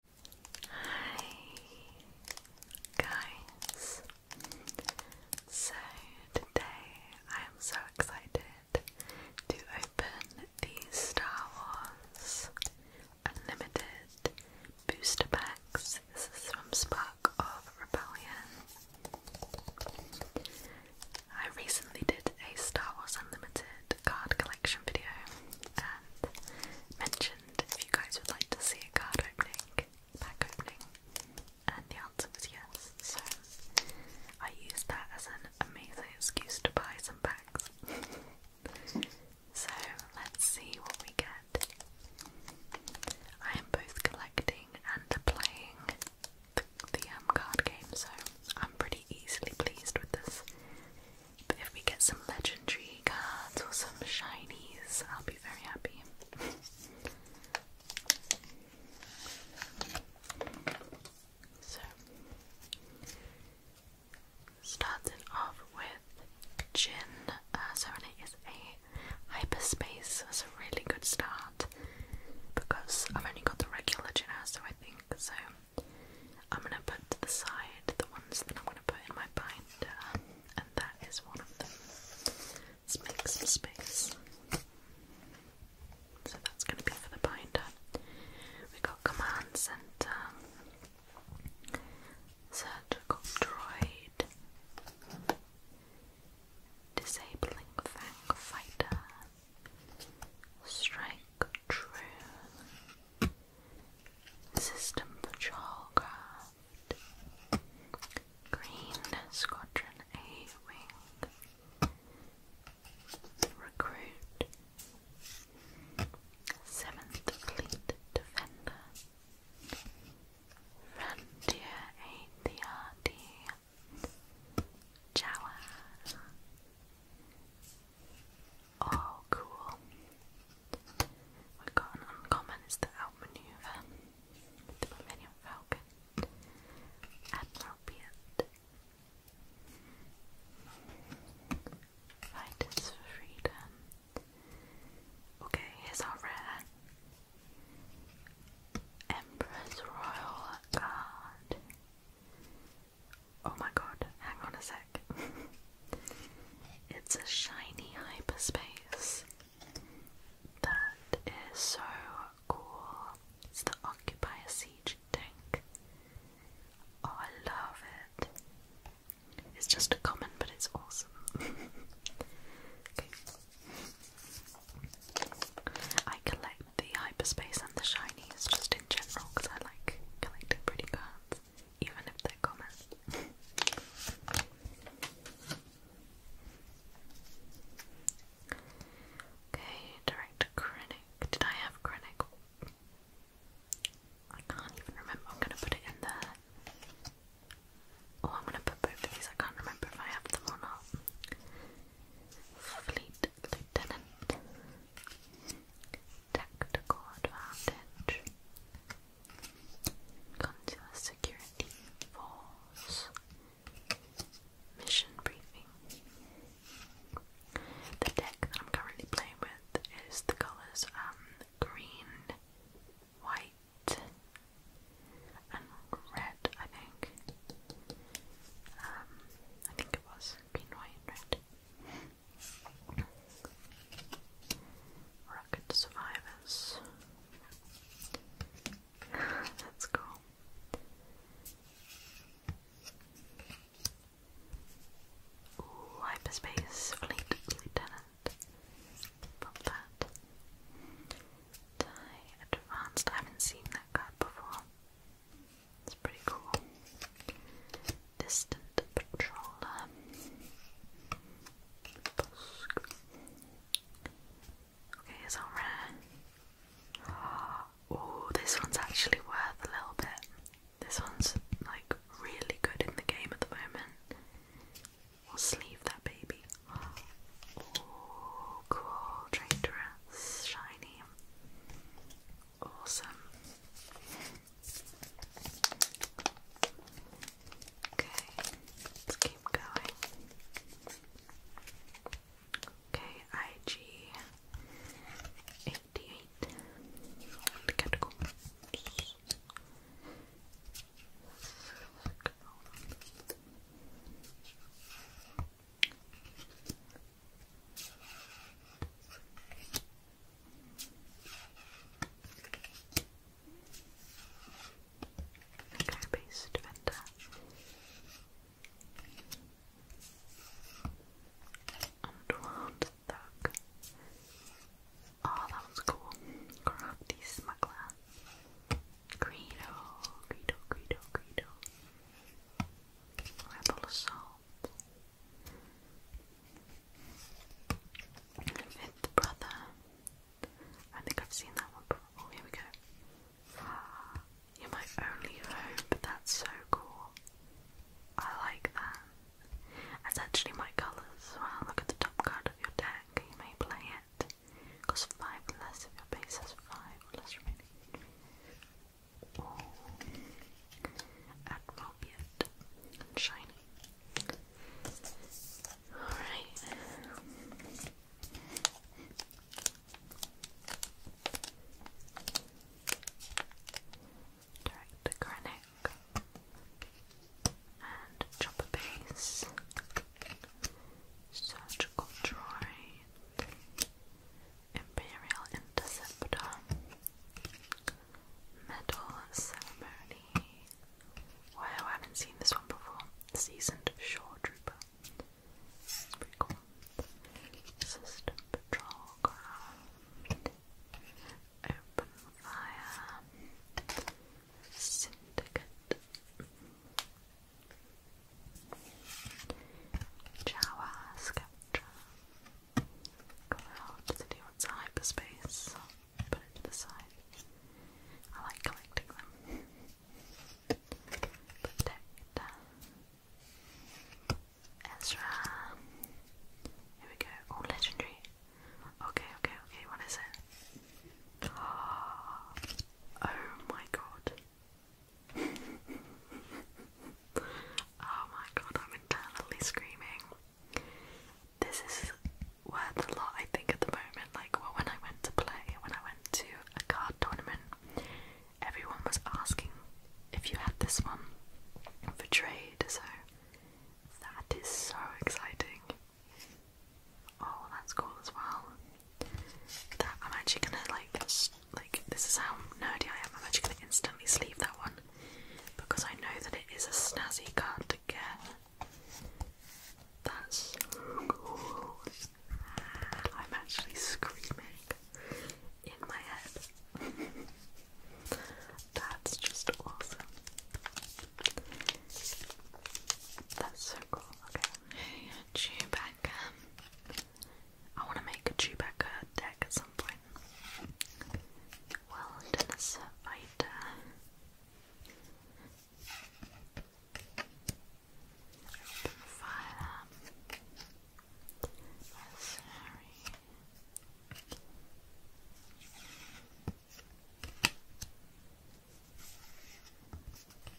Hi guys. So today I am so excited to open the Star Wars Unlimited booster packs. This is from Spark of Rebellion. I recently did a Star Wars Unlimited card collection video and mentioned if you guys would like to see a card opening, pack opening, and the answer was yes. So I used that as an amazing excuse to buy some packs. so let's see what we get. I am both collecting and playing the, the um, card game, so I'm pretty easily pleased with this. But if we get some legendary cards or some shinies, I'll be very happy. so, starting off with Jin. Uh, so, it is a hyperspace, that's a really good start because I've only got the regular Jin, so I think so. I'm gonna put to the side the ones that I'm gonna put in my binder, and that is one of them. Let's make some space. So that's gonna be for the binder. We got commands and surgical droid, disabling fang fighter, strike true. System Patrol Craft Green Squadron A Wing Recruit Seventh Fleet Defender Frontier ATRD Jawa Oh, cool. We got an uncommon is the outmaneuver. The Millennium Falcon. Admiral Beard. Freedom. Okay, here's our rare. Empress Royal Guard. Oh my god, hang on a sec. It's a shiny hyperspace. That is so cool. It's the Occupy Siege tank. Oh, I love it. It's just a common, but it's awesome. I collect the hyperspace and the shinies just in general because I like collecting pretty cards even if they're okay, direct Krennic. Did I have Krennic? I can't even remember. I'm gonna put it in there. Oh, I'm gonna put both of these. I can't remember if I have them or not. Fleet Lieutenant. Tactical advantage. Consular Security Force Mission Briefing. The deck that I'm currently playing with is the colours um, green, white, and red, I think. Um, I think it was green, white, and red. Rocket survivors. That's cool. hyperspace fleet lieutenant. Pop that. Die advanced. I haven't seen that card before. It's pretty cool distant patroller. Okay, it's all Oh, this one's actually worth a little bit. This one's like really good in the game at the moment. We'll sleeve that baby. Oh, cool. Traitorous, shiny. Awesome. Okay, let's keep going. Okay, IG eighty-eight categories. Okay. Paste vendor. Underland thug. Oh, that was cool. Crafty smuggler. Credo, Credo, Credo, Credo. Rebel assault. Fifth Brother. I think I've seen that one before. Oh, here we go. you my only hope. That's so cool. I like that. It's actually my colours as Look at the top card of your deck. You may play it. Costs five less if your base has five less remaining. Oh. shiny. Alright. Direct and chopper base. Surgical droid. Imperial Interceptor. Metal ceremony. Wow, I haven't seen this one before. Seasoned Shore Trooper. pretty cool. Patrol Craft. Open Fire. Syndicate. Jawa Sceptre. God, to do what's hyperspace put it to the side. I like collecting them. Protect. Uh, Ezra. Here we go. Oh, legendary. Okay, okay, okay. What is it? oh my god. oh my god, I'm internally screaming. This is words a lot, I think, at the moment. Like, well, when I went to play, when I went to a card tournament, everyone was asking if you had this one for trade, so that is so exciting. Oh, that's cool as well. That I'm actually gonna like, like this is how nerdy I am. I'm actually gonna instantly sleeve that one because I know that it is a snazzy card to get. That's so cool. I'm actually screaming in my head. That's just awesome. That's so cool. Okay. Chewbacca. I want to make a Chewbacca deck at some point. Wilderness Fighter. Fire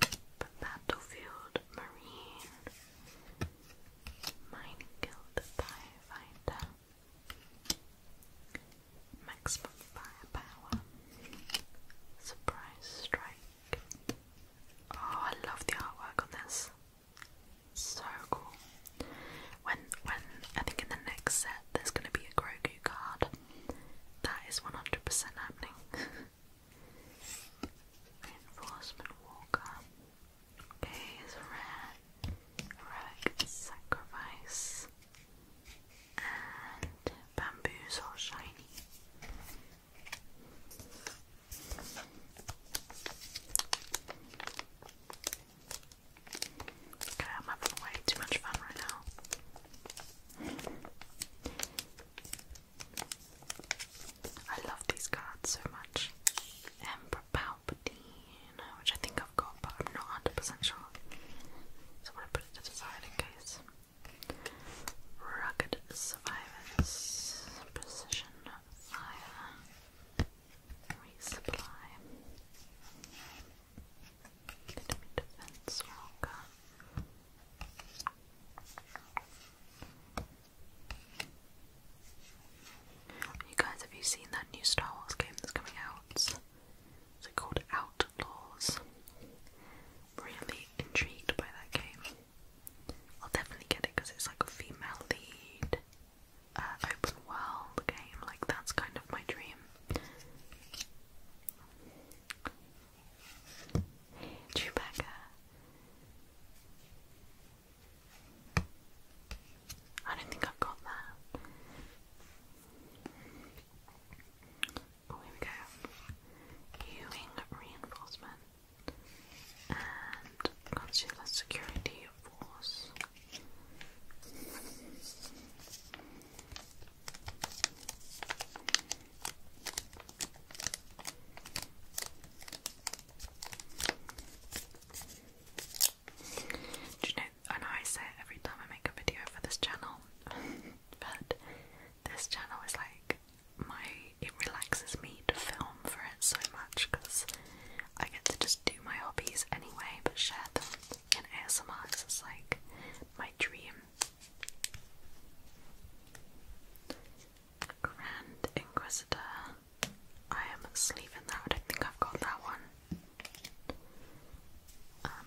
Sorry. Battlefield Marine Minefield Firefighter Maximum firepower. Surprise strike. Oh, I love the artwork on this. So cool. When when I think in the next set there's gonna be a Grogu card. That is 100 happening. Reinforcement Walker. Okay, it's rare. Sacrifice bamboos are shiny. Okay, I'm having way too much fun right now. I love these cards so much. Emperor Palpatine, which I think I've but I'm not 100 sure. So I want to put it to the side in case. Rugged Survivors Precision Fire Resupply. Enemy Defense Walker. You guys, have you seen that new Star Wars game that's coming out? Is it called Out old laws. Really intrigued by that game. I'll definitely get it because it's like a female lead uh, open world game. Like, that's kind of my dream. Chewbacca. I don't think I've got that. Oh, we go. Ewing reinforcement and consular security force. Do you know I know I say every time I make a video for this channel, but this channel is like my. It relaxes me to film for it so much because I get to just do my hobbies anyway, but share them in ASMR. It's like my dream. Grand Inquisitor. I am sleeping now. I don't think I've got that one. Um,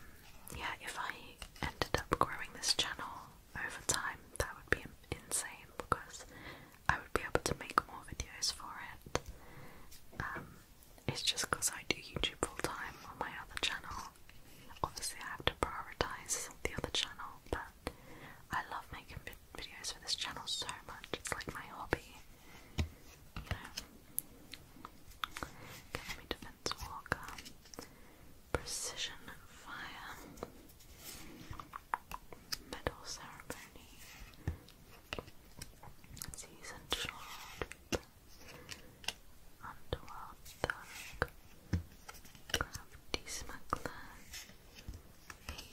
yeah, if I ended up growing this channel over time, that would be insane because I would be able to make more videos for it. Um, it's just because I do YouTube full time on my other channel. Obviously, I have to prioritize the other channel, but I love making videos for this channel so much. It's like my hobby. You know. Okay, let me defend Lance Precision Fire Medal Ceremony Season Short Underworld Thug Smuggler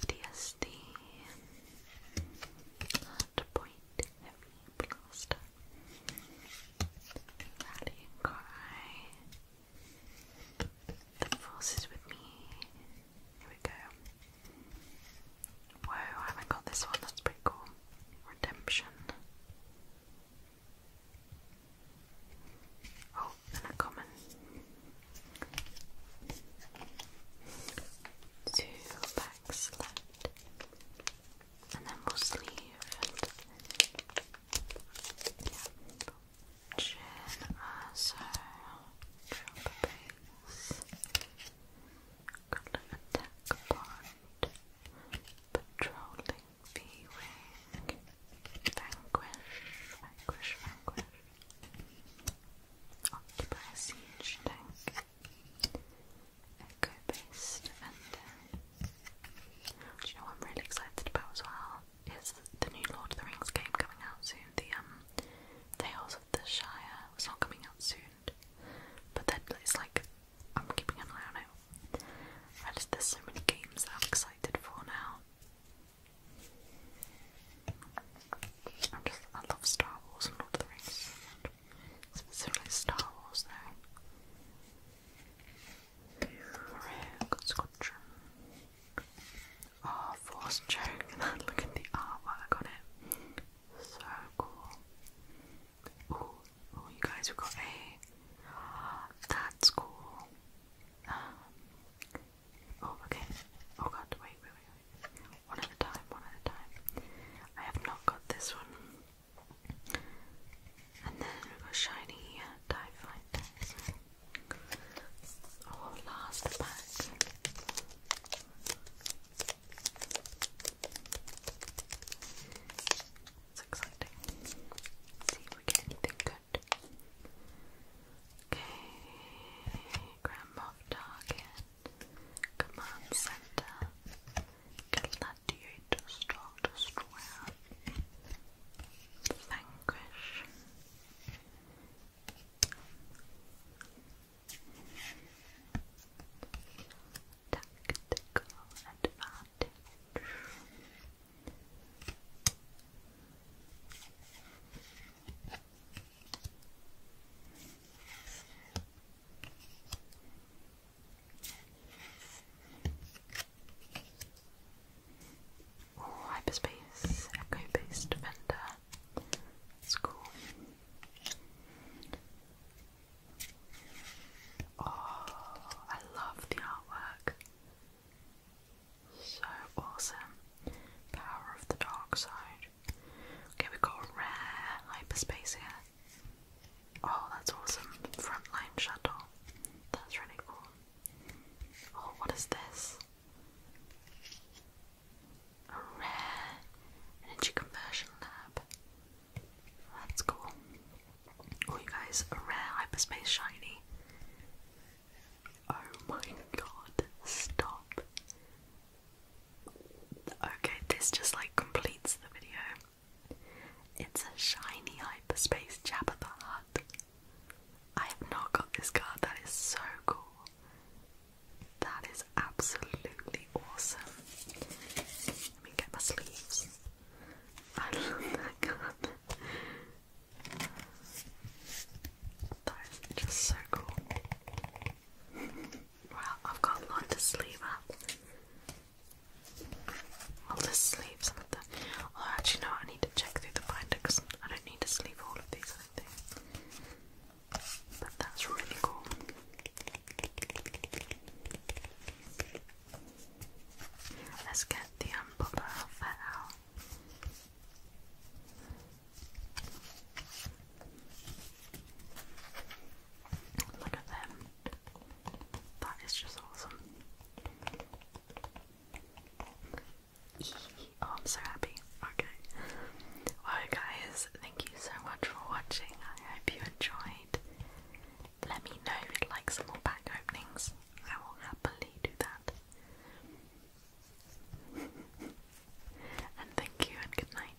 ADSD Hard Heavy Blaster Rally and cry. The force is with me. Here we go. Whoa, I haven't got this one. That's pretty cool. Redemption. Oh, and a common. Two packs left and then we'll sleeve and yeah. Chin also Patrolling v Vanquish. Vanquish, vanquish. Occupy Echo based and uh, do you know what I'm really excited about as well is the new Lord of the Rings game coming out soon. The um Tales of the Shire. It's not coming out soon. But then it's like I'm keeping an eye on it. I just there's so many games that I'm excited for now. I'm just, I love Star Wars and Lord of the Rings. Specifically Star Wars, though. Scotch. Oh, force Look at the artwork on it. So cool. Oh, you guys, have got a. That's cool. Um, oh, okay. Oh god, wait, wait, wait. One at a time, one at a time. I have not got this one. And then shiny uh, Oh, last pack. It's exciting. see if we get anything good. Okay, Grand Moff Target, Command Center, Gladiators, Star Destroyer, Vanquish. Tactical advantage. Oh, hyperspace, echo-based defender. That's cool. Oh, I love the artwork. So awesome. Power of the dark side. Okay, we got rare hyperspace here. Oh, that's awesome. Frontline shuttle. That's really cool. Oh, what is this? A rare energy conversion lab. That's cool. Oh, you guys, a rare hyperspace shiny. Oh my god, stop. Okay, this just like completes the video. It's a shiny hyperspace Jabba the Hutt. I have not got this card, that is so cool. That is absolutely awesome. Let me get my sleeves. I love that card. That is just so cool. Well, I've got a sleeve up. I'll just sleeve some of them. Oh, actually, no, I need to check through the binder because I don't need to sleeve all of these, I do But that's really cool. Let's get the unpopular um, outfit out. Look at them. That is just awesome. Oh, I'm so happy. Okay. Well, guys, thank you so much for watching. I hope you enjoyed. Let me know if you'd like some more pack openings. I will happily do that. and thank you and good night.